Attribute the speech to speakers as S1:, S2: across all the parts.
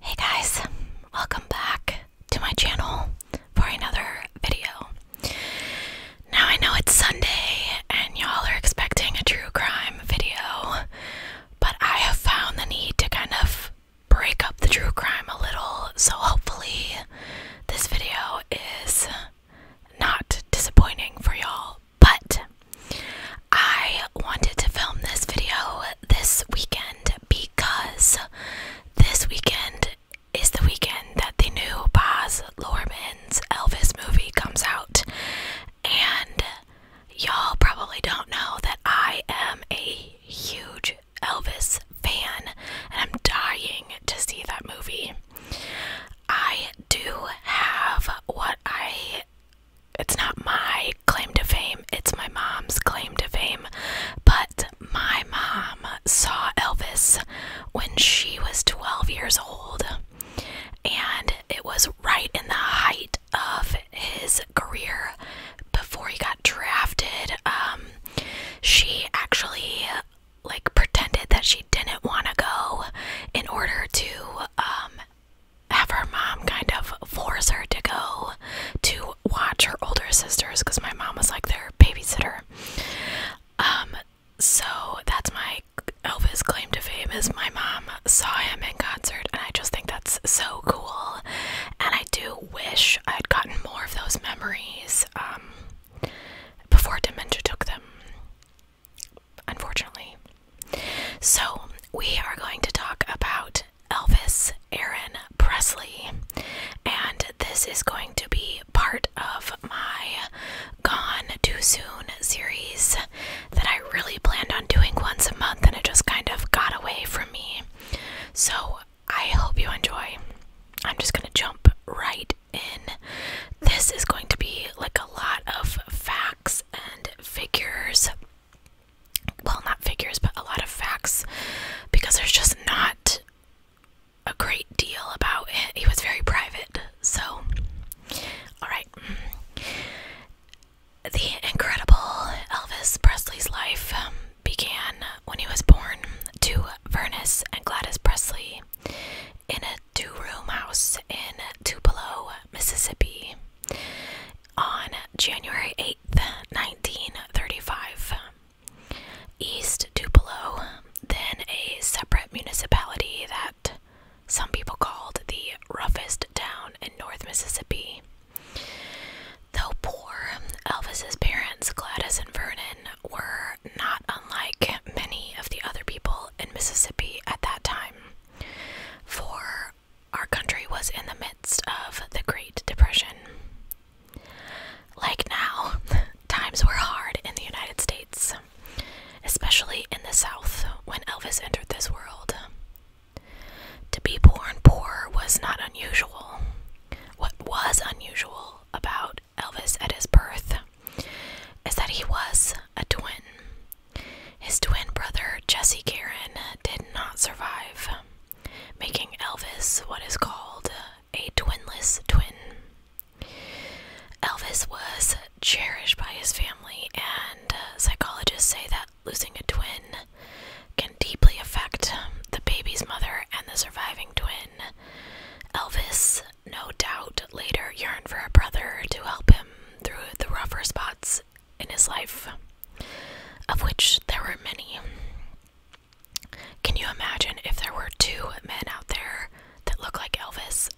S1: Hey guys, welcome back to my channel for another video. Now I know it's Sunday and y'all are expecting a true crime video, but I have found the need to kind of break up the true crime a little, so hopefully this video is not disappointing for y'all, but I wanted to film this video this weekend because this weekend is the weekend that the new Boz Luhrmann's Elvis movie comes out. And y'all probably don't know that I am a huge Elvis fan, and I'm dying to see that movie. I do have what I. It's not my claim to fame, it's my mom's claim to fame. But my mom saw Elvis when she was 12 years old, and it was right in the height of his career before he got drafted. Um, she actually like pretended that she didn't want to go in order to um have her mom kind of force her to go to watch her older sisters because my mom was like their babysitter. Um, so that's my Elvis claim to fame is my mom saw him in concert, and I just think that's so cool. And I do wish I had gotten more of those memories um, before dementia took them, unfortunately. So, we are going to talk about Elvis Aaron Presley, and this is going to be part of my Gone Too Soon series that I really planned on doing once a month and it just kind of got away from me. So, I hope you enjoy. I'm just going to jump right in. This is going to be like a lot of facts and figures. Well, not figures, but a lot of facts because there's just not a great deal about it. He was very private. So, all right. Mm. The incredible Elvis Presley's life. Um, began when he was born to Vernice and Gladys Presley in a two room house in Tupelo, Mississippi on January 8th, 1935. East Tupelo, then a separate municipality that some people called the roughest town in North Mississippi. Though poor, Elvis's parents, Gladys and Vernon, were not unlike many of the other people in Mississippi at that time. For our country was in the midst of the Great Depression. Like now, times were hard in the United States, especially in the South when Elvis entered this world. To be born poor was not unusual. What was unusual about Elvis at his birth is that he was a twin. His twin brother, Jesse Karen, did not survive, making Elvis what is called a twinless twin. Elvis was cherished by his family, and uh, psychologists say that losing a twin can deeply affect the baby's mother and the surviving twin Elvis, no doubt, later yearned for a brother to help him through the rougher spots in his life, of which there were many. Can you imagine if there were two men out there that looked like Elvis?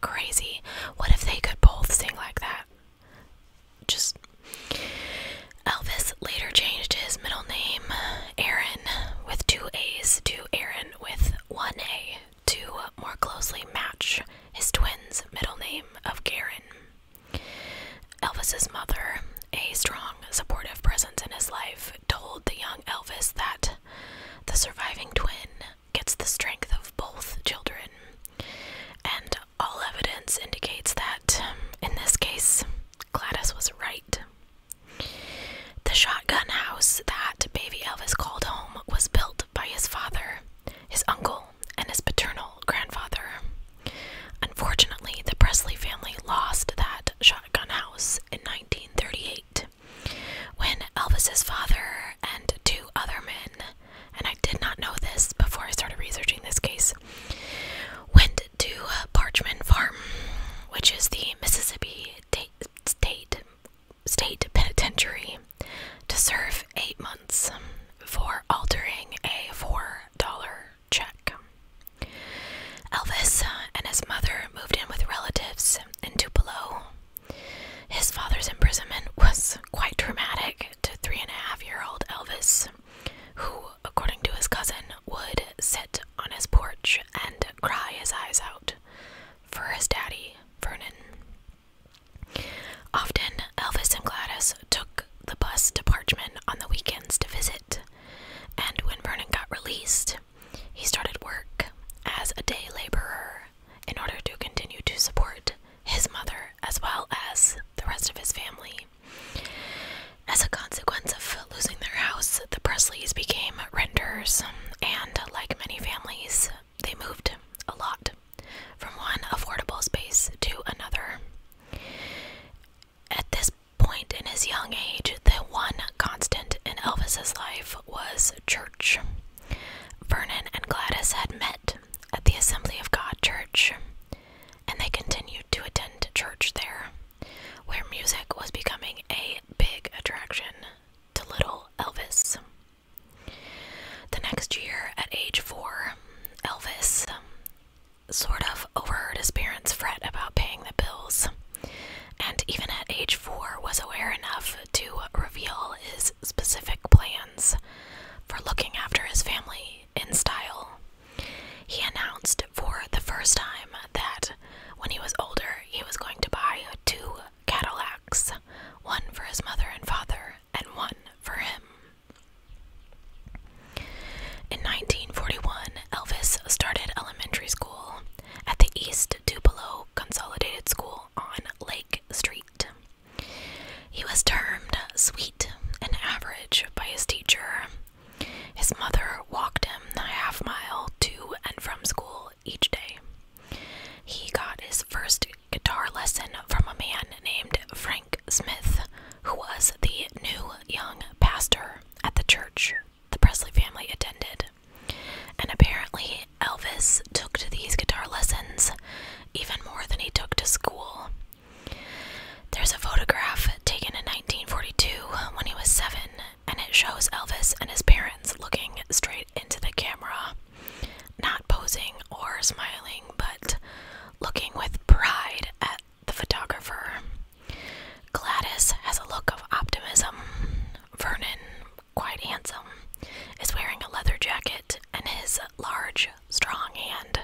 S1: Crazy. What if they could both sing like that? Just Elvis later changed his middle name, Aaron, with two A's, to Aaron with one A, to more closely match his twin's middle name of Garen. Elvis's mother, a strong, supportive presence in his life, told the young Elvis that the surviving twin gets the strength of both children. And all evidence indicates that, in this case, Gladys was right. The shotgun house that baby Elvis called home was built by his father, his uncle, and his paternal grandfather. Unfortunately, the Presley family lost that shotgun house in 1938 when Elvis's father and two other men, and I did not know this before I started researching this case, went head to uh, Parchman Farm, which is the Mississippi State State Penitentiary, to serve eight months for altering a four dollar check. Elvis uh, and his mother moved in with relatives in Tupelo. His father's imprisonment was quite traumatic to three and a half year old Elvis, who, according to his cousin, would sit on his porch and cry his eyes out for his daddy, Vernon. Often, Elvis and Gladys took the bus to Parchman on the weekends to visit, and when Vernon got released, he started work as a day laborer in order to continue to support his mother as well as the rest of his family. As a consequence of losing their house, the Presleys became renters, and like many families, they moved a lot from one affordable space to another. At this point in his young age, the one constant in Elvis's life was church. Vernon and Gladys had met at the Assembly of God Church, and they continued to attend church there, where music was becoming a big attraction to little Elvis. The next year, at age four, Elvis sort of overheard his parents fret about paying the bills, and even at age four, was aware enough to reveal his specific plans for looking after his family in style. He announced for the first time that when he was older, he was going to buy two Cadillacs one for his mother and father, and one for him. In 1941, Elvis started elementary school at the East Tupelo Consolidated School on Lake Street. He was termed sweet and average by his teacher his mother walked him a half mile to and from school each day. He got his first guitar lesson from a man named Frank Smith, who was the new young pastor at the church the Presley family attended. And apparently, Elvis took to these guitar lessons even more than he took to school, there's a photograph taken in 1942 when he was seven, and it shows Elvis and his parents looking straight into the camera, not posing or smiling, but looking with pride at the photographer. Gladys has a look of optimism. Vernon, quite handsome, is wearing a leather jacket, and his large, strong hand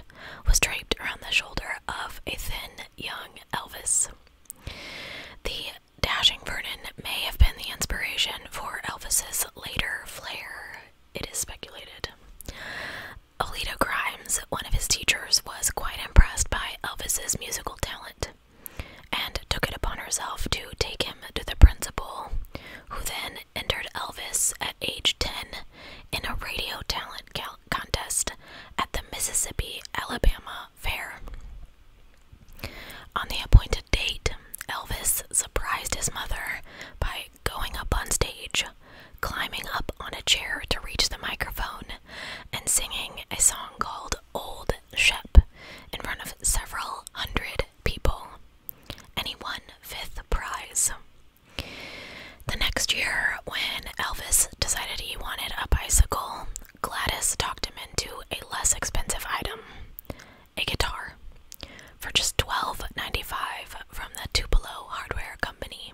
S1: was draped around the shoulder of a thin young Elvis. The dashing Vernon may have been the inspiration for Elvis's later flair, it is speculated. Alito Grimes, one of his teachers, was quite impressed by Elvis's musical talent and took it upon herself to take him to the principal, who then entered Elvis at age 10 in a radio talent contest at the Mississippi Alabama Fair. On the appointed date, Elvis surprised his mother by going up on stage, climbing up on a chair to reach the microphone, and singing a song called Old Shep in front of several hundred people. And he won fifth prize. The next year, when Elvis decided he wanted a bicycle, Gladys talked him into a less expensive item a guitar for just $12.95 from the Tupelo Hardware Company.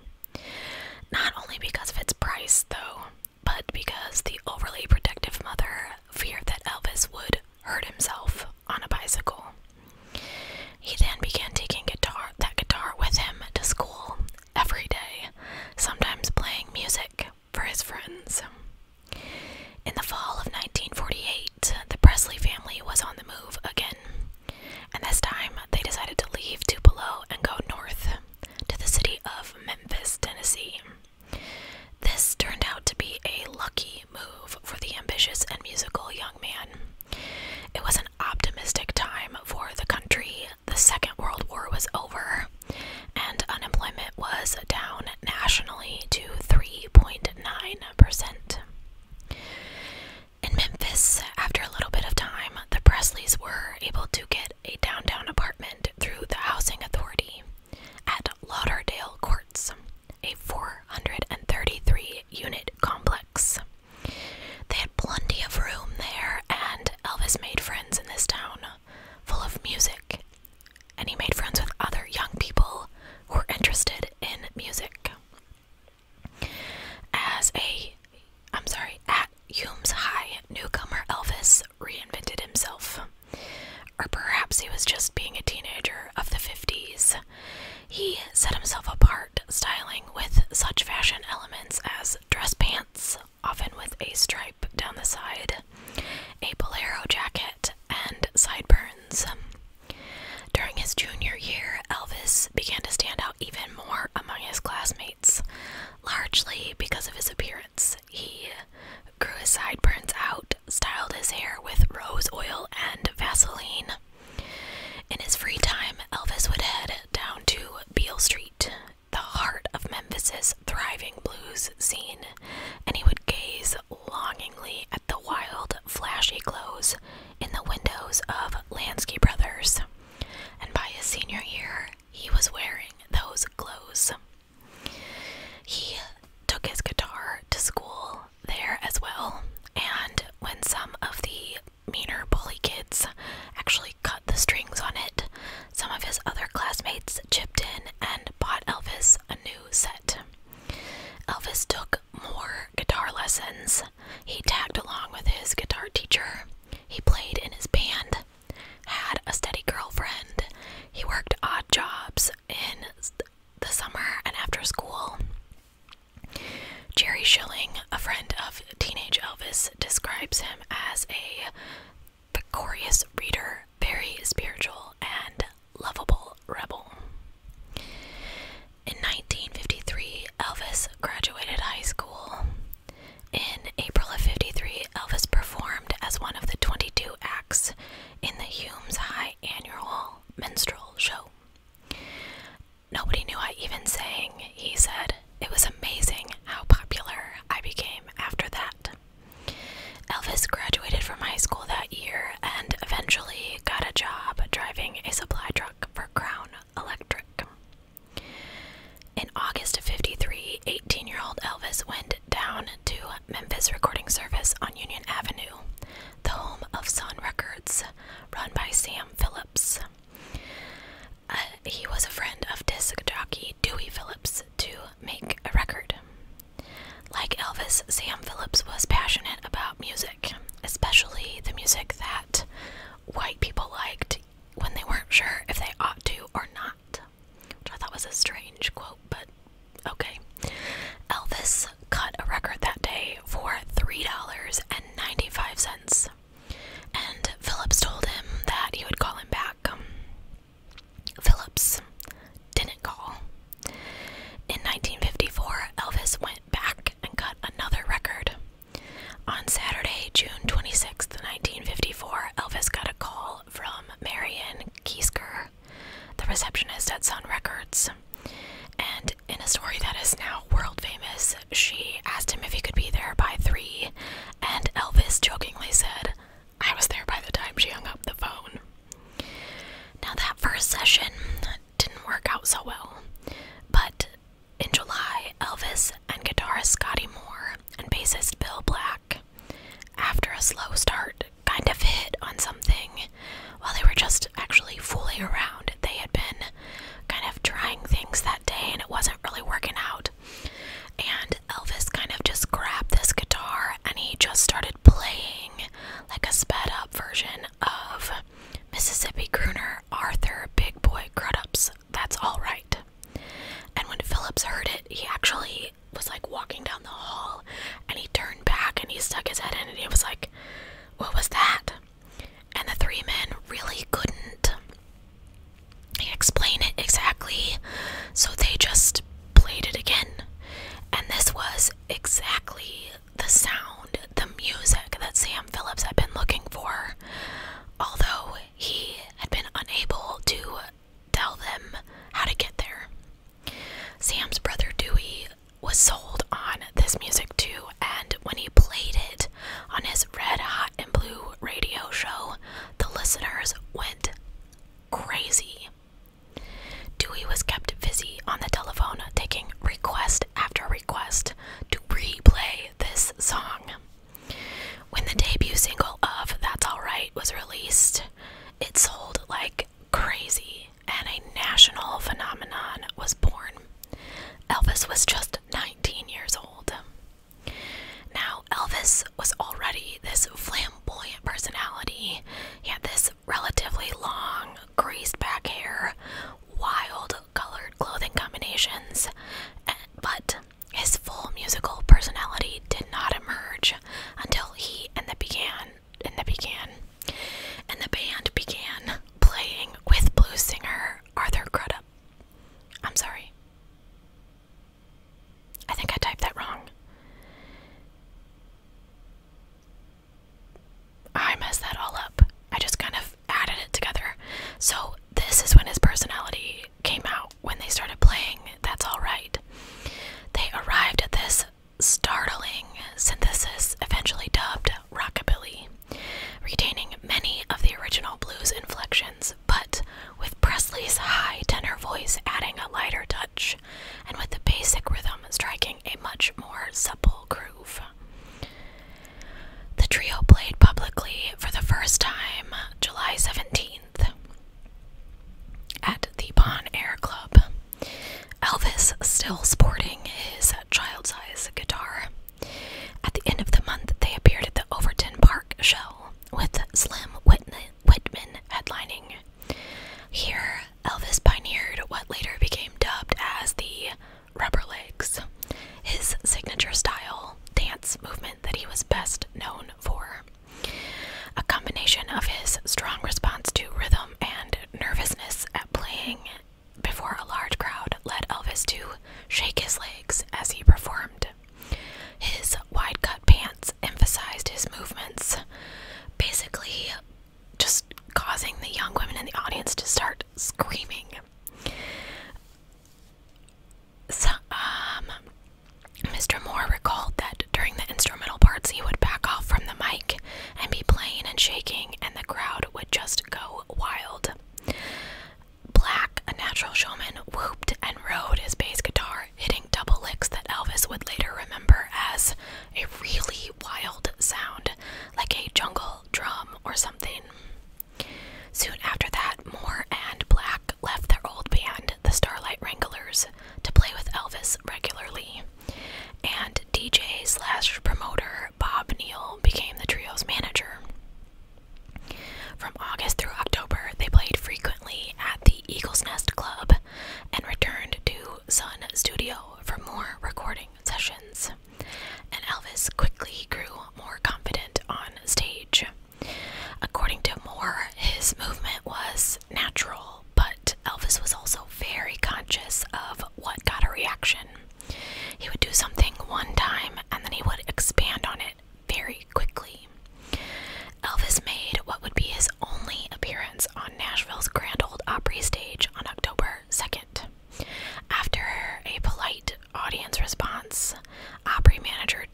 S1: Not only because of its price, though, but because the overly protective mother feared that Elvis would hurt himself on a bicycle. He then began taking that guitar with him to school every day, sometimes playing music for his friends. In the fall of 1948, the Presley family was on the move again, and this time they decided to leave Tupelo and go north to the city of Memphis, Tennessee. This turned out to be a lucky move for the ambitious and musical young man. It was optimistic time for the country. The Second World War was over, and unemployment was down nationally to 3.9%. In Memphis, after a little bit of time, the Presleys were able to get a downtown apartment through the Housing Authority at Lauderdale Courts, a 433 unit complex. They had plenty of room there, and Elvis made friends in this town full of music. And he made friends with other young people who were interested in music. As a, I'm sorry, at Hume's High, newcomer Elvis reinvented himself. Or perhaps he was just being a teenager of the 50s. He set himself apart styling with such fashion elements as dress pants, often with a stripe down the side, a bolero jacket, and sideburns. During his junior year, Elvis began to stand out even more among his classmates, largely because of his appearance. He grew his sideburns out, styled his hair with rose oil and Vaseline. In his free time, Elvis would head down to Beale Street, the heart of Memphis's thriving blues scene, and he would gaze longingly at the wild, flashy clothes in the windows of Lansky Brothers. And by his senior year, he was wearing those clothes. He took his guitar to school there as well, and when some of the meaner bully kids actually cut the strings on it. Some of his other classmates chipped in and bought Elvis a new set. Elvis took more guitar lessons. He tagged along with his guitar teacher. He played in his band, had a steady girlfriend. He worked odd jobs in the summer and after school. Jerry Schilling, a friend of teenage Elvis, describes him as a victorious reader, very spiritual, and lovable rebel. In 1953, Elvis graduated high school. In April of 53, Elvis performed as one of the 22 acts in the Humes High Annual Minstrel Show. Nobody knew I even sang, he said. It was amazing how popular I became after that. Elvis graduated from high school that year and eventually got a job driving a supply truck for Crown Electric. In August of 53, 18 year old Elvis went down to Memphis Recording Service on Union Avenue, the home of Sun Records, run by Sam Phillips. Uh, he was a friend of disc jockey Dewey Phillips to make a record. Like Elvis, Sam Phillips was passionate about music, especially the music that white people liked when they weren't sure if they ought to or not. Which I thought was a strange quote, but okay. Elvis cut a record that day for $3.95 and Phillips told him that he would call him back. Um, Phillips didn't call. In 1954, Elvis went back and cut another record. On Saturday, June 26, 1954, Elvis got a call from Marion Kiesker, the receptionist at Sun Records, and in a story that is now world famous, she asked him if he could be there by three, and Elvis jokingly said, I was there by the time she hung up the phone. Now, that first session didn't work out so well, but in July, Elvis and guitarist Scotty Moore and bassist Bill Black, after a slow start, kind of hit on something. While they were just actually fooling around, they had been kind of trying things that day and it wasn't really working out. And Elvis kind of just grabbed this guitar and he just started playing like a sped up version of Mississippi Crooner Arthur Big Boy Crudups. That's all right. And when Phillips heard it, he actually was like walking down the hall and he turned back and he stuck his head in and he was like, What was that? and the three men really couldn't explain it exactly, so they just played it again. And this was exactly the sound, the music that Sam Phillips had been looking for, although he had been unable to tell them how to get there. Sam's brother Dewey was sold on this music too, and when he played it, on his red hot and blue radio show, the listeners went crazy. Dewey was kept busy on the telephone, taking request after request to replay this song. When the debut single of That's Alright was released, it sold like crazy and a national phenomenon was born. Elvis was just 19 years old. Now, Elvis was already this flamboyant personality. He had this relatively long, greased back hair, wild colored clothing combinations, eh, but his full musical personality did not emerge until he and the began and the began and the band began playing with blues singer Arthur Crudup. I'm sorry. I think I typed that wrong. I messed that all up. I just kind of added it together. So, this is when his personality came out when they started playing That's Alright. They arrived at this startling synthesis, eventually dubbed Rockabilly retaining many of the original blues inflections, but with Presley's high tenor voice adding a lighter touch, and with the basic rhythm striking a much more supple groove. The trio played publicly for the first time July 17th at the Bon Air Club. Elvis still sporting his child sized guitar at the end of the month, they appeared at the Overton Park show with Slim Whitman headlining. Here, Elvis pioneered what later became dubbed as the rubber legs, his signature style dance movement that he was best known for. A combination of his strong response to rhythm and nervousness at playing before a large crowd led Elvis to shake his legs as he performed. His wide cut pants emphasized his movements, basically just causing the young women in the audience to start screaming. So, Mr. Um, Moore recalled that during the instrumental parts he would back off from the mic and be playing and shaking, and the crowd would just go wild. Black, a natural showman, whooped and rode his bass guitar, hitting double licks that Elvis would later remember as a really wild sound, like a jungle drum or something. Soon after that, Moore and Black left their old band, the Starlight Wranglers, to play with Elvis regularly. And DJ slash promoter Bob Neal became the trio's manager. From August through October, they played frequently at the Eagles Nest Club and returned to Sun Studio for more recording sessions. And Elvis quickly grew more confident on stage. According to Moore, his movement was natural, but Elvis was also very conscious of what got a reaction. He would do something one time and then he would expand on it very quickly. Elvis made what would be his only appearance on Nashville's Grand Old Opry stage on October 2nd. After a polite audience response, Opry manager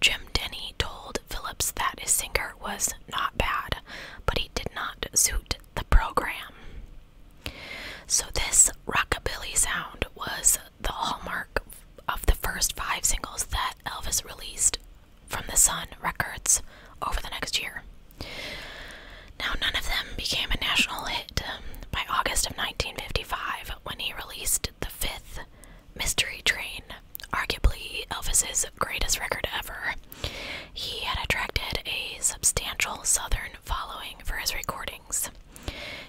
S1: Jim Denny told Phillips that his singer was not bad, but he did not suit the program. So, this rockabilly sound was the hallmark of the first five singles that Elvis released from the Sun Records over the next year. Now, none of them became a national hit um, by August of 1955 when he released the fifth Mystery Train, arguably Elvis's greatest record ever. He had attracted a substantial southern following for his recordings.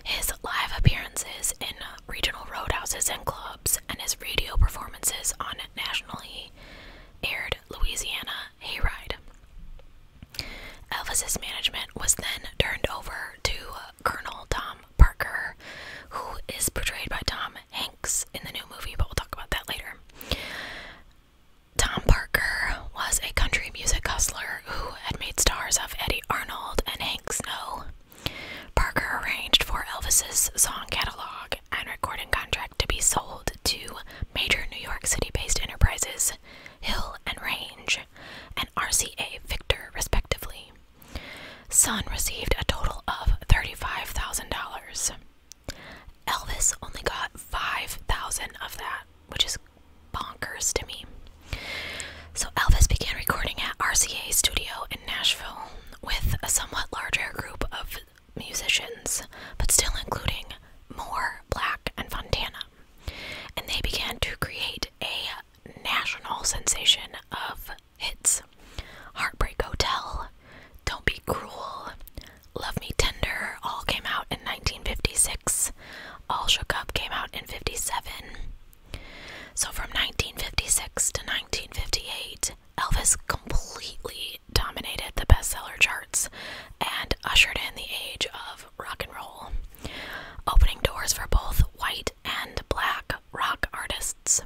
S1: His live appearances in regional roadhouses and clubs, and his radio performances on nationally aired Louisiana Hayride. Elvis's management was then turned over to Colonel Tom Parker, who is portrayed by Tom Hanks in the new movie, but we'll talk about that later. Tom Parker was a country music hustler who had made stars of Eddie Arnold and Hank Snow. Parker arranged for Elvis's song catalog and recording contract to be sold to major New York City based enterprises Hill and Range and RCA Victor, respectively. Sun received a total of $35,000. Elvis only got 5000 of that, which is bonkers to me. So Elvis began recording at RCA Studio in Nashville with a somewhat larger group of musicians, but still including Moore, Black, and Fontana. And they began to create a national sensation of hits Heartbreak Hotel, Don't Be Cruel, Love Me Tender all came out in 1956. All Shook Up came out in 57. So from 1956 to 1958, Elvis completely dominated the bestseller charts and ushered in the age of rock and roll, opening doors for both white and black rock artists.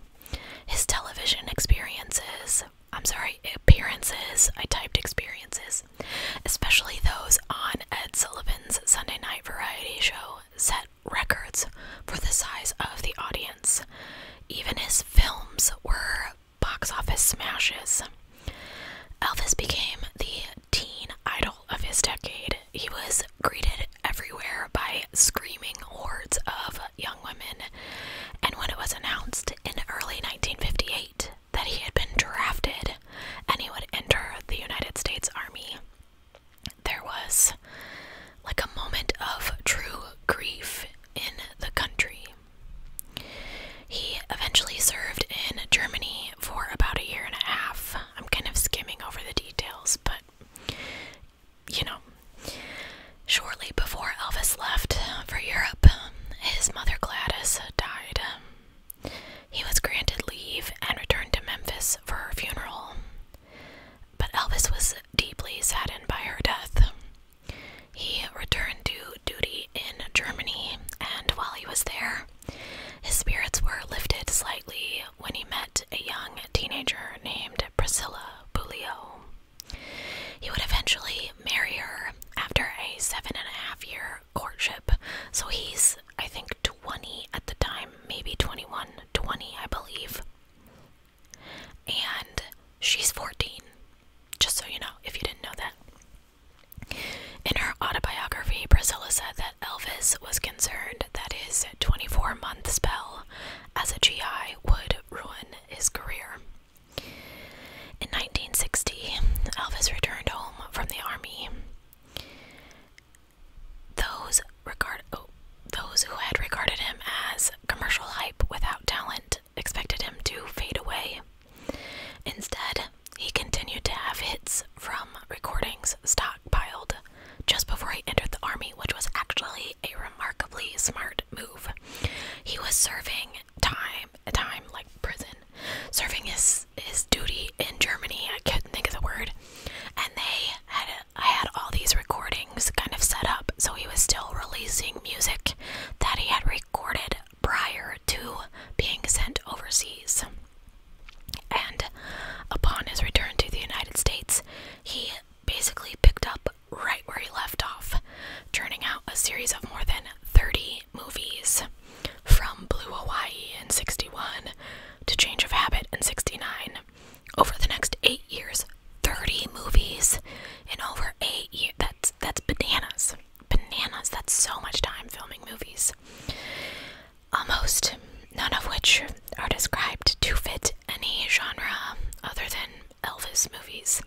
S1: His television experiences, I'm sorry, appearances, I typed experiences, especially those on Ed Sullivan's Sunday night variety show, set records for the size of the audience. Even his films were box office smashes. Elvis became the teen idol of his decade. He was greeted everywhere by screaming hordes of young women, and when it was announced in early 1958 that he had been drafted and he would enter the United States Army, there was like a moment of true grief in the country. He eventually served in Germany for about a year and a half. I'm kind of skimming over the details, but you know. Shortly before Elvis left for Europe, his mother Gladys died. He was granted leave and returned to Memphis for her funeral. But Elvis was deeply saddened by her death. He returned to duty in Germany, and while he was there, his spirits were lifted slightly when he met a young teenager named Priscilla Bulio. He would eventually marry her after a seven and a half year courtship. So he's, I think, 20 at the time, maybe 21, 20, I believe. And she's 14, just so you know, if you didn't know that. In her autobiography, Priscilla said that Elvis was concerned that his 24 month spell as a GI would ruin his career. In 1960, Elvis returned home from the army. Those regard oh, those who had regarded him as commercial hype without talent expected him to fade away. Instead, he continued to have hits from recordings stockpiled just before he entered the army, which was actually a remarkably smart move. He was serving time time like prison serving his his duty in Germany I can not think of the word and they had I had all these recordings kind of set up so he was still releasing music that he had recorded prior to being sent overseas and upon his return to the United States he basically picked up right where he left off, turning out a series of more than 30 movies from Blue Hawaii in 61 to Change of Habit in 69. Over the next eight years, 30 movies in over eight years. That's, that's bananas. Bananas. That's so much time filming movies. Almost none of which are described to fit any genre other than Elvis movies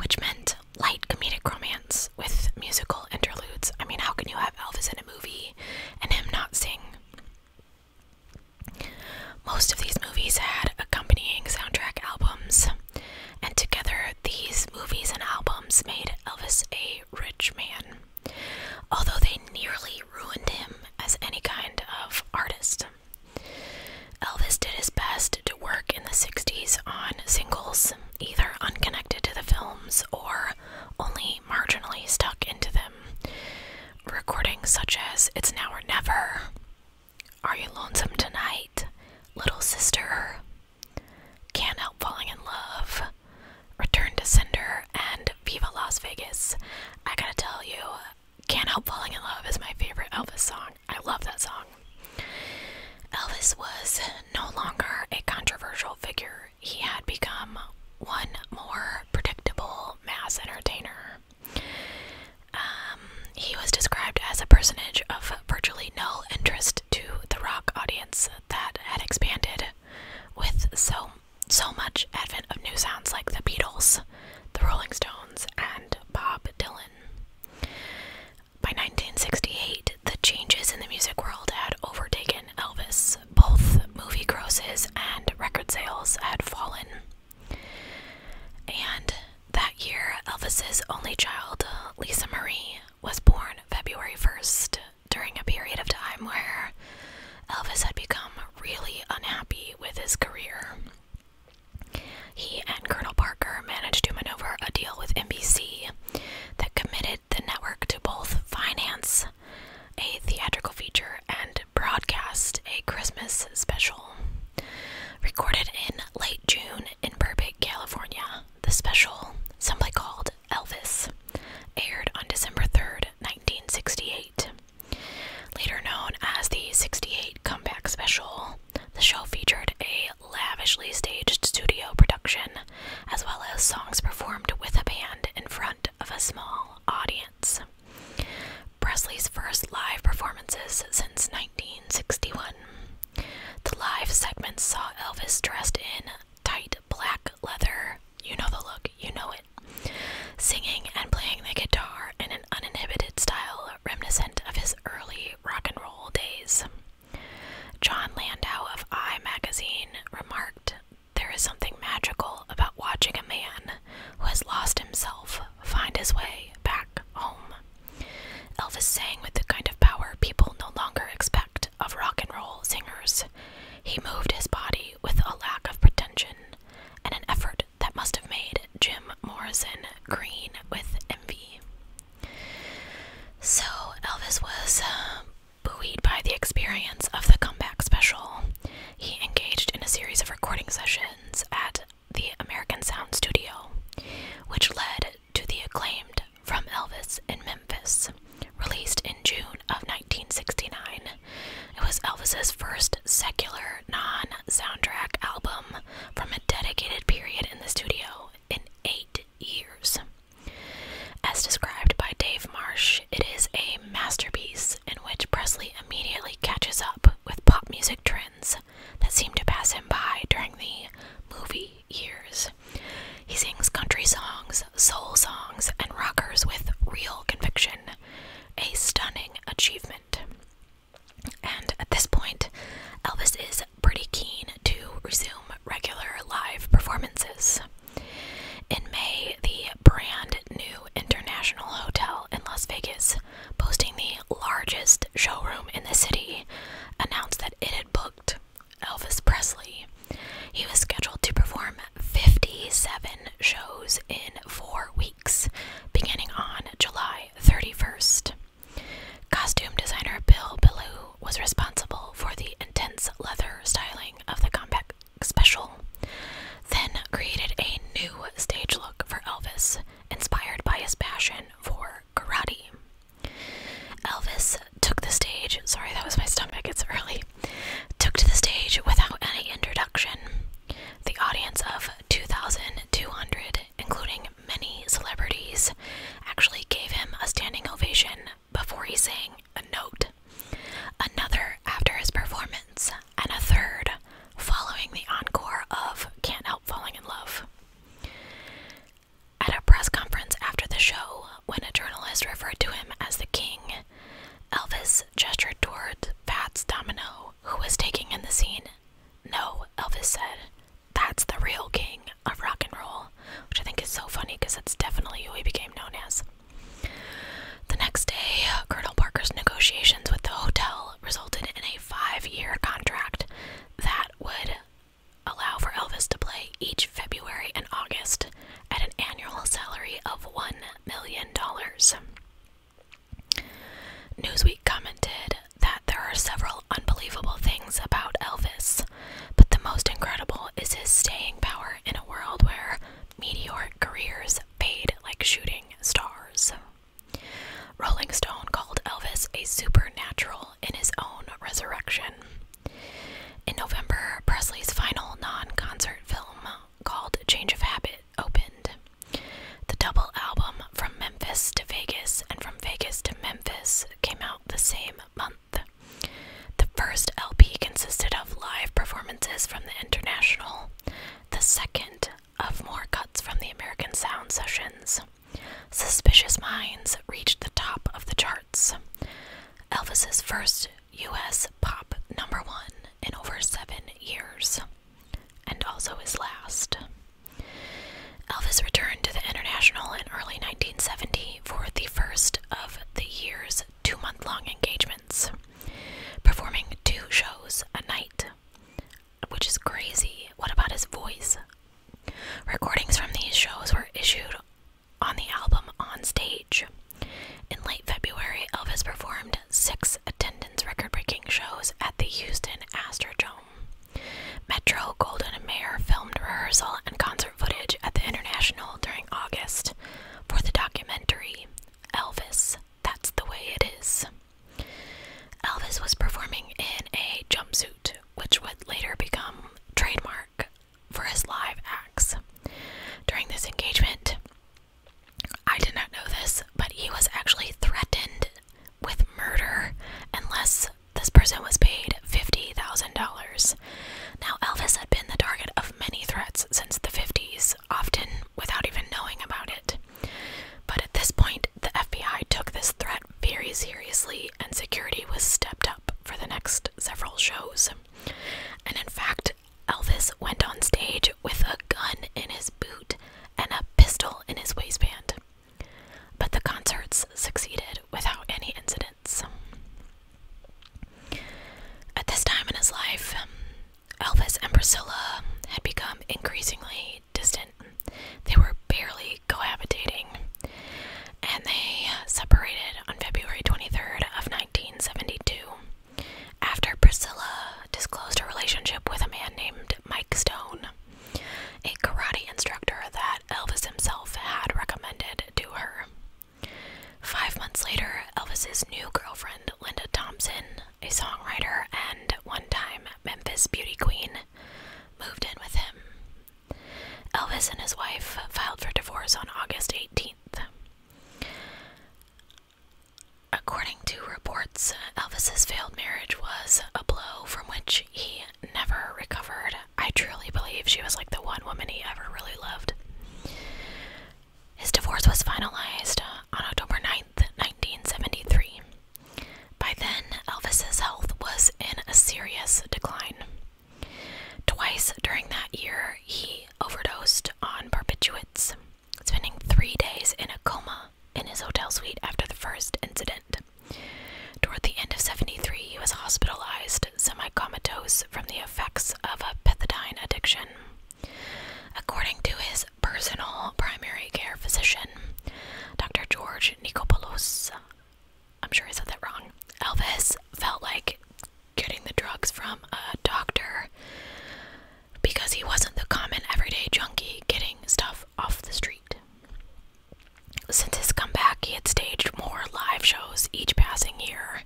S1: which meant light comedic romance with musical interludes. I mean, how can you have Elvis in a movie and him not sing? Most of these movies had accompanying soundtrack albums, and together these movies and albums made Elvis a rich man, although they nearly ruined him as any kind of artist. Elvis did his best to work in the 60s on singles, either unconnected to the films or only marginally stuck into them. Recordings such as It's Now or Never, Are You Lonesome Tonight, Little Sister, Can't Help Falling in Love, Return to Cinder, and Viva Las Vegas. I gotta tell you, Can't Help Falling in Love is my favorite Elvis song. I love that song. Elvis was no longer a controversial figure. He had become one more predictable mass entertainer. Um, he was described as a personage of virtually no interest to the rock audience that had expanded with so so much advent of new sounds like the Beatles, the Rolling Stones, and Bob Dylan. By 1968, the changes in the music world had overtaken Elvis. Both movie grosses and record sales had fallen. And that year, Elvis's only child, Lisa Marie, was born February 1st during a period of time where Elvis had become really unhappy with his career. He and Colonel Parker managed to maneuver a deal with NBC that committed the network to both finance a theatrical feature and broadcast a Christmas special. Recorded in late June in Burbank, California, the special, simply called Elvis, aired on December 3, 1968. Later known as the 68 Comeback Special, the show featured a lavishly staged studio production, as well as songs performed with a band in front of a small audience. Presley's first live performances since 1961. The live segments saw Elvis dressed in tight black leather, you know the look, you know it, singing and playing the guitar in an uninhibited style reminiscent of his early rock and roll days. John Landau of I magazine remarked, There is something magical about watching a man who has lost himself find his way back home. Elvis sang with the kind of power people no longer expect of rock and roll singers. He moved his body with a lack of pretension and an effort that must have made Jim Morrison green with envy. So Elvis was um, buoyed by the experience of the comeback special. He engaged in a series of recording sessions at the American Sound Studio, which led to the acclaimed From Elvis in Memphis, released in June of 1969. It was Elvis's first secular non soundtrack album from a dedicated period in the studio in eight years. As described by Dave Marsh, it is a masterpiece in which Presley immediately catches up with pop music trends that seem to pass him by during the movie years. He sings country songs, soul songs, and rockers with real conviction, a stunning achievement. And at this point, Elvis is pretty keen to resume regular live performances. In May, the brand new International Hotel in Las Vegas, boasting the largest showroom in the city, announced that it had booked Elvis Presley. He was scheduled to perform 57 shows in four weeks, beginning on July 31st. Costume designer Bill Ballou was responsible for the intense leather styling of the compact special, then created a new stage look for Elvis, inspired by his passion for karate. Elvis took the stage, sorry, that was my stomach, it's early, took to the stage without any introduction. The audience of 2,200, including many celebrities actually gave him a standing ovation before he sang a note, another after his performance, and a third following the encore of Can't Help Falling in Love. At a press conference after the show, when a journalist referred to him as the king, Elvis gestured toward Fats Domino, who was taking in the scene. No, Elvis said, that's the real king of rock and roll, which I think is so funny because that's definitely who he became known as. The next day, Colonel Parker's negotiations with the hotel resulted in a five year contract that would allow for Elvis to play each February and August at an annual salary of $1 million. Newsweek commented that there are several unbelievable things about Elvis, but the most incredible is his staying power in a world where meteoric careers fade like shooting stars. Rolling Stone called Elvis a supernatural in his own resurrection. In November, Presley's final non concert film, called Change of Habit, opened. The double album from Memphis to Vegas and From Vegas to Memphis came out the same month. The first LP consisted of live performances from the International, the second of more cuts from the American Sound Sessions. Suspicious Minds reached the top of the charts. Elvis's first US pop number one in over seven years, and also his last. Elvis returned to the International in early 1970 for the first of the year's two month long engagements, performing two shows a night, which is crazy. What about his voice? Recordings from these shows were issued on the album On Stage. In late February, Elvis performed six attendance record breaking shows at the Houston Astrodome. Metro Golden and Mayer filmed rehearsal and concert footage at the International during August for the documentary Elvis, That's the Way It Is. Elvis was performing in a jumpsuit, which would later become trademark for his live acts. During this engagement, I did not know this, but he was actually threatened with murder unless this person was paid $50,000. Now, Elvis had been the target of many threats since the 50s, often without even knowing about it. But at this point, the FBI took this threat very seriously, and security was stepped up for the next several shows. And in fact, Elvis went on stage with a gun in his boot and a pistol in his waistband. But the concerts succeeded without any incidents. At this time in his life, um, Elvis and Priscilla had become increasingly distant. They were barely cohabitating, and they separated on February 23rd of 1972 after Priscilla disclosed her relationship with a man named Mike Stone a karate instructor that Elvis himself had recommended to her. Five months later, Elvis's new girlfriend, Linda Thompson, a songwriter and one time Memphis beauty queen, moved in with him. Elvis and his wife filed for divorce on August 18th. According to reports, Elvis's failed marriage was a blow from which he never recovered. I truly believe she was like the one woman he ever really loved. His divorce was finalized on October 9th, 1973. By then, Elvis's health was in a serious decline. Twice during that year, he overdosed on barbiturates, spending three days in a coma in his hotel suite after the first incident. Toward the end of 73, he was hospitalized, semi comatose from the effects of a methadone addiction. According to his personal primary care physician, Dr. George Nicopoulos, I'm sure I said that wrong, Elvis felt like getting the drugs from a doctor because he wasn't the common everyday junkie getting stuff off the street. Since his comeback, he had staged more live shows each passing year,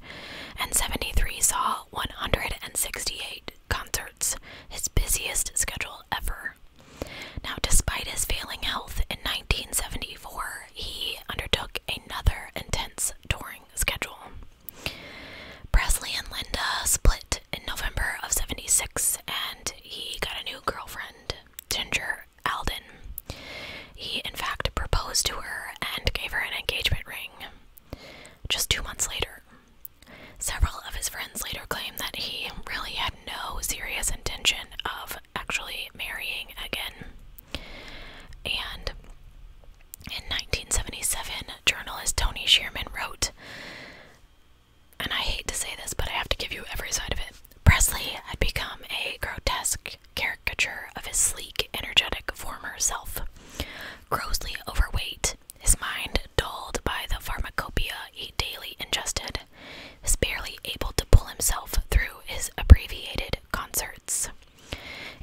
S1: and 73 saw 168 concerts, his busiest schedule ever. Now, despite his failing health in 1974, he undertook another intense touring schedule. Presley and Linda split in November of 76 and he got a new girlfriend, Ginger Alden. He, in fact, proposed to her and gave her an engagement ring just two months later. Several of his friends later claimed that he really had no serious intention of actually marrying again. And in 1977, journalist Tony Sheerman wrote and I hate to say this, but I have to give you every side of it. Presley had become a grotesque caricature of his sleek, energetic former self. Grossly overweight, his mind dulled by the pharmacopoeia he daily ingested, is barely able to pull himself through his abbreviated concerts.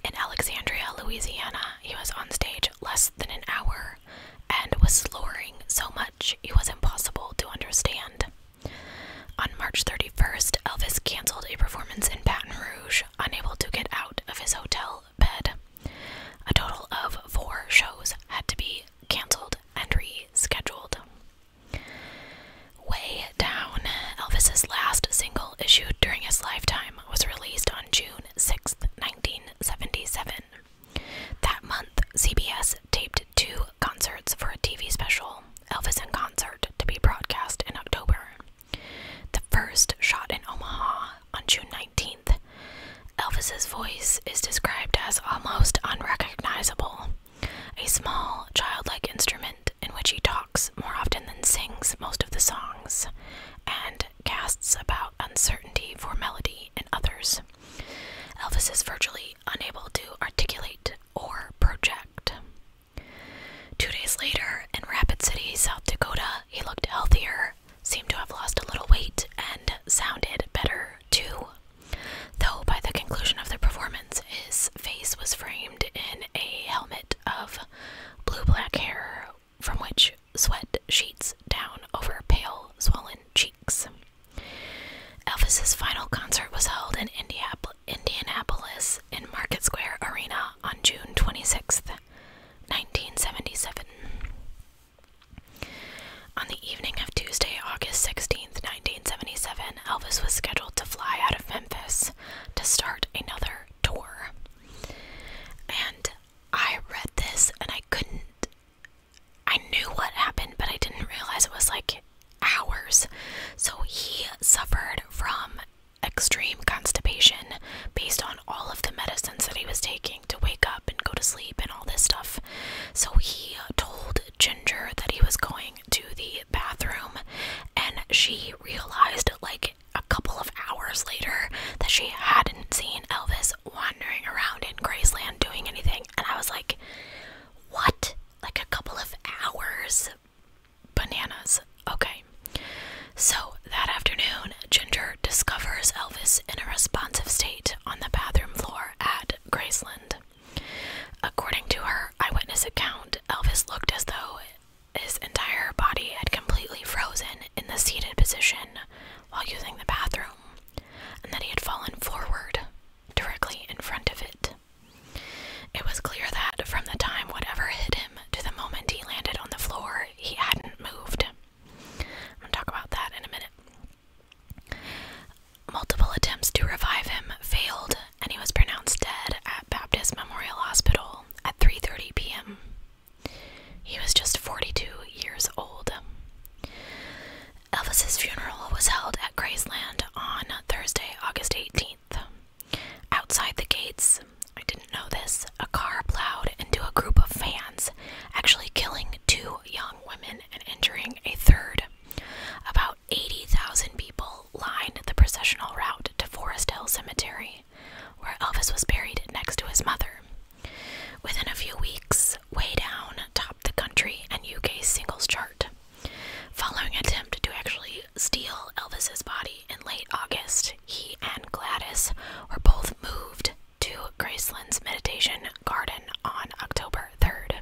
S1: In Alexandria, Louisiana, he was on stage less than an hour and was slurring so much it was impossible to understand. On March 31st, Elvis canceled a performance in Baton Rouge, unable to get out of his hotel bed. A total of four shows had to be canceled and rescheduled. Way Down, Elvis's last single issued during his lifetime, was released on June 6, 1977. That month, CBS taped two concerts for a TV special, Elvis in Concert, to be broadcast in October. The first shot in Omaha on June 19th. Elvis's voice is described as almost unrecognizable, a small, childlike instrument in which he talks more often than sings most of the songs and casts about uncertainty for melody. Disney, and others. Elvis is virtually unable to articulate or project. Two days later, in Rapid City, South Dakota, he looked healthier, seemed to have lost a little weight, and sounded better too. Though by the conclusion of the performance, his face was framed in a helmet of blue black hair from which sweat sheets down over pale, swollen cheeks. Elvis's final concert was held in Indianapolis in Market Square Arena on June twenty-sixth, 1977. On the evening of Tuesday, August sixteenth, 1977, Elvis was scheduled to fly out of Memphis to start another tour. And I read this and I couldn't I knew what happened, but I didn't realize it was like hours. So he suffered from extreme constipation based on all of the medicines that he was taking to wake up and go to sleep and all this stuff. So he told Ginger that he was going to the bathroom, and she realized, like, a couple of hours later that she hadn't seen Elvis wandering around in Graceland doing anything, and I was like, what? Like a couple of hours? Bananas. Okay. So that afternoon, Ginger discovers Elvis in a responsive state on the bathroom floor at Graceland. According to her eyewitness account, Elvis looked as though his entire body had completely frozen in the seated position while using the bathroom and that he had fallen forward directly in front of it. It was clear that from the time whatever hit him to the moment he landed on the floor, he hadn't moved. I'm going to talk about that in a minute. Multiple attempts to revive him failed, and he was pronounced dead at Baptist Memorial Hospital at 3:30 p.m. He was just 42 years old. Elvis's funeral was held at Graceland on Thursday, August 18th. Outside the gates, I didn't know this, a car plowed into a group of fans, actually killing two young women and injuring a third. About 80,000 people lined the processional route to Forest Hill Cemetery, where Elvis was buried next to his mother. Within a few weeks, Way Down top the country and UK singles chart. Following attempt to actually steal Elvis's body in late August, he and Gladys were both moved to Graceland's Meditation Garden on October 3rd.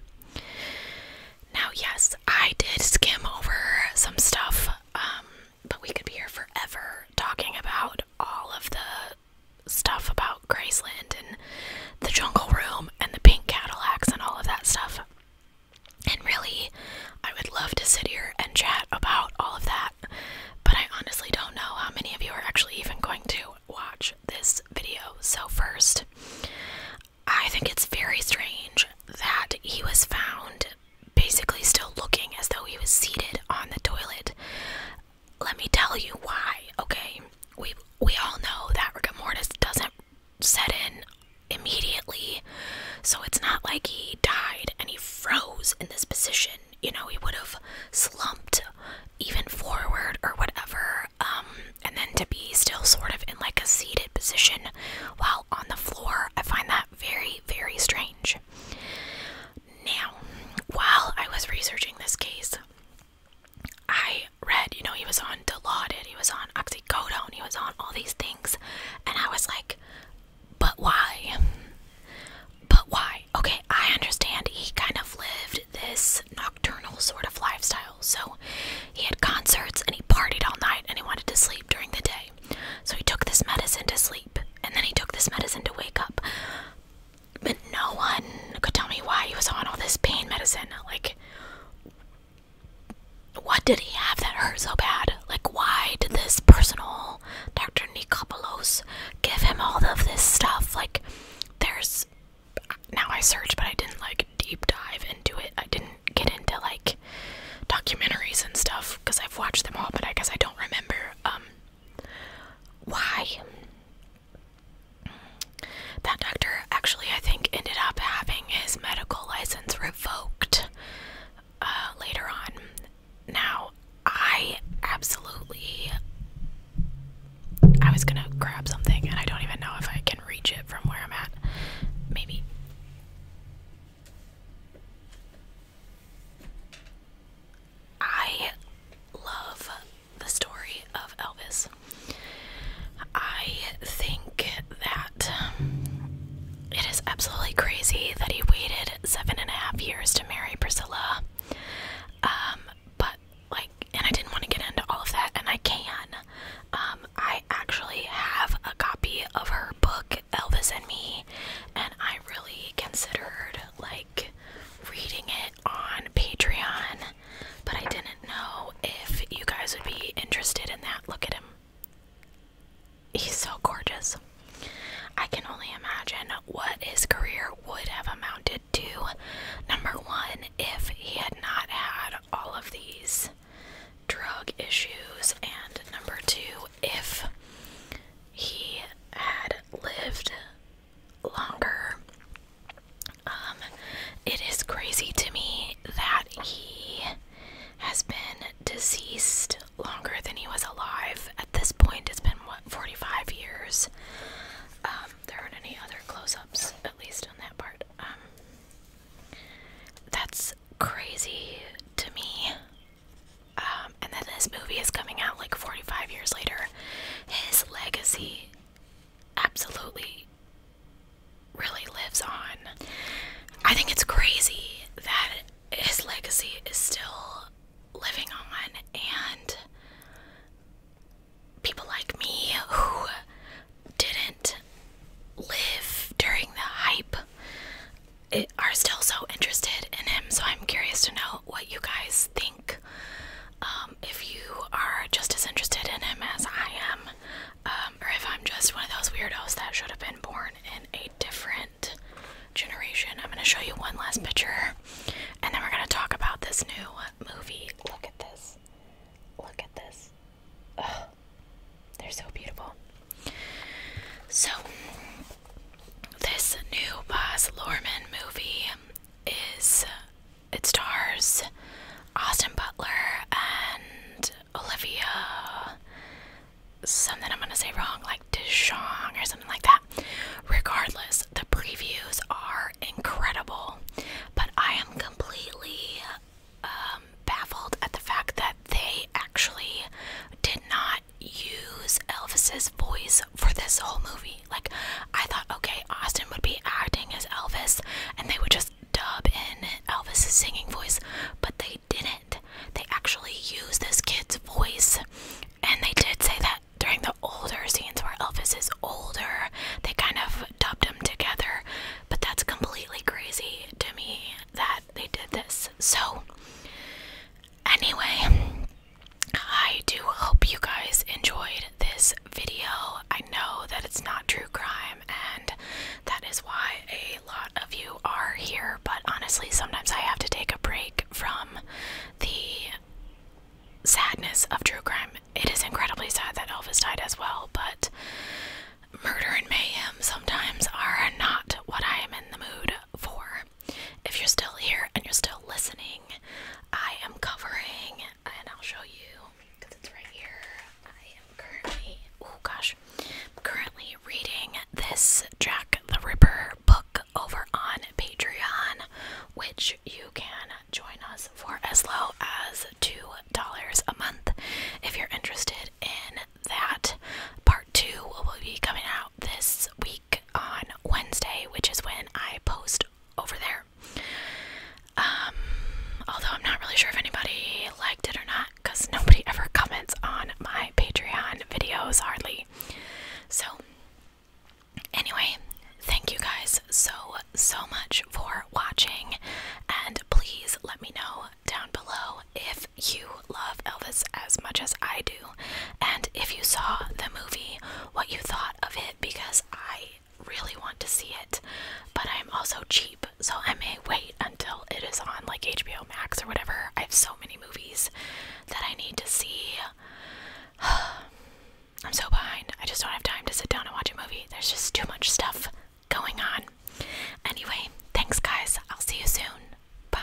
S1: Now, yes, I did skim over some stuff, um, but we could be here forever talking about all of the stuff about Graceland and the Jungle Room and the pink Cadillacs and all of that stuff. And really, I would love to sit here and chat about all of that, but I honestly don't know how many of you are actually even going to watch this video. So, first, I think it's very strange that he was found basically still looking as though he was seated on the toilet let me tell you why, okay? We we all know that rigor mortis doesn't set in immediately. So it's not like he died and he froze in this position. You know, he would have slumped even forward or whatever. Um and then to be still sort of in like a seated position while on the floor, I find that very, very strange. Now, while I was researching this case, I read, you know, he was on Dilaudid, he was on oxycodone, he was on all these things, and I was like, but why? But why? Okay, I understand he kind of lived this nocturnal sort of lifestyle. So he had concerts and he partied all night and he wanted to sleep during the day. So he took this medicine to sleep and then he took this medicine to wake up. But no one could tell me why he was on all this pain medicine. Like, what did he have that hurt so bad? Like, why did this personal Dr. Nikopolos give him all of this stuff? Like, there's. Now I searched, but I didn't, like, deep dive into it. I didn't get into, like, documentaries and stuff because I've watched them all, but I guess I don't remember um, why that doctor actually, I think, ended up having his medical license revoked uh, later on. Now, I absolutely. I was gonna grab something, and I don't even know if I can reach it from where I'm at. Maybe. I love the story of Elvis. I think that it is absolutely crazy that he waited seven and a half years to marry Priscilla. Um, but like, and I didn't want to get into all of that, and I can. Um, I actually have a copy of her book, Elvis and Me, and I really considered like reading it on Patreon, but I didn't know if you guys would be interested in that. Look at him. He's so gorgeous. I can only imagine what his career would have amounted to. Number one, if he had not had all of these drug issues, and number two, if he had lived longer. Um, it is crazy to me that he has been deceased longer than he was alive. At this point, it's been what 45 years. Um, there aren't any other close-ups, at least on that part. Um, that's crazy to me. Um, and then this movie is coming out like 45 years later. His legacy absolutely really lives on. I think it's crazy that his legacy is still living on, and people like me who didn't live during the hype are still so interested in him. So I'm curious to know what you guys think. Um, if you are just as interested in him as I am, um, or if I'm just one of those weirdos that should have been born in a different generation, I'm going to show you one last picture and then we're going to talk about this new movie. Look at this. Look at this. Ugh. They're so beautiful. So, this new Baz Luhrmann movie is it stars Austin Butler and Olivia something I'm gonna say wrong, like Deshong or something like that. Regardless, the previews are incredible, but I am completely um, baffled at the fact that they actually did not use Elvis's voice for this whole movie. Like, I thought, okay, Austin would be acting as Elvis and they would just dub in Elvis's singing voice, but they didn't. They actually used this kid's voice, and they did say that during the older scenes where Elvis is older, they kind of dubbed him together, but that's completely crazy to me that they did this. So, Anyway, I do hope you guys enjoyed this video. I know that it's not true crime, and that is why a lot of you are here, but honestly, sometimes I have to take a break from the sadness of true crime. It is incredibly sad that Elvis died as well, but murder and mayhem sometimes are not what I am in the mood for if you're still here and you're still listening, I am covering, and I'll show you because it's right here. I am currently, oh gosh, currently reading this Jack the Ripper book over on Patreon, which you can join us for as low as $2 a month if you're interested in that. Part 2 will be coming out this week on Wednesday, which is when I post over there. Um, although I'm not really sure if anybody liked it or not because nobody ever comments on my Patreon videos hardly. So, anyway, thank you guys so, so much for watching. And please let me know down below if you love Elvis as much as I do. And if you saw the movie what you thought of it because I really want to see it, but I'm also cheap, so I may wait until it is on like HBO Max or whatever. I have so many movies that I need to see. I'm so behind. I just don't have time to sit down and watch a movie. There's just too much stuff going on. Anyway, thanks guys. I'll see you soon. Bye.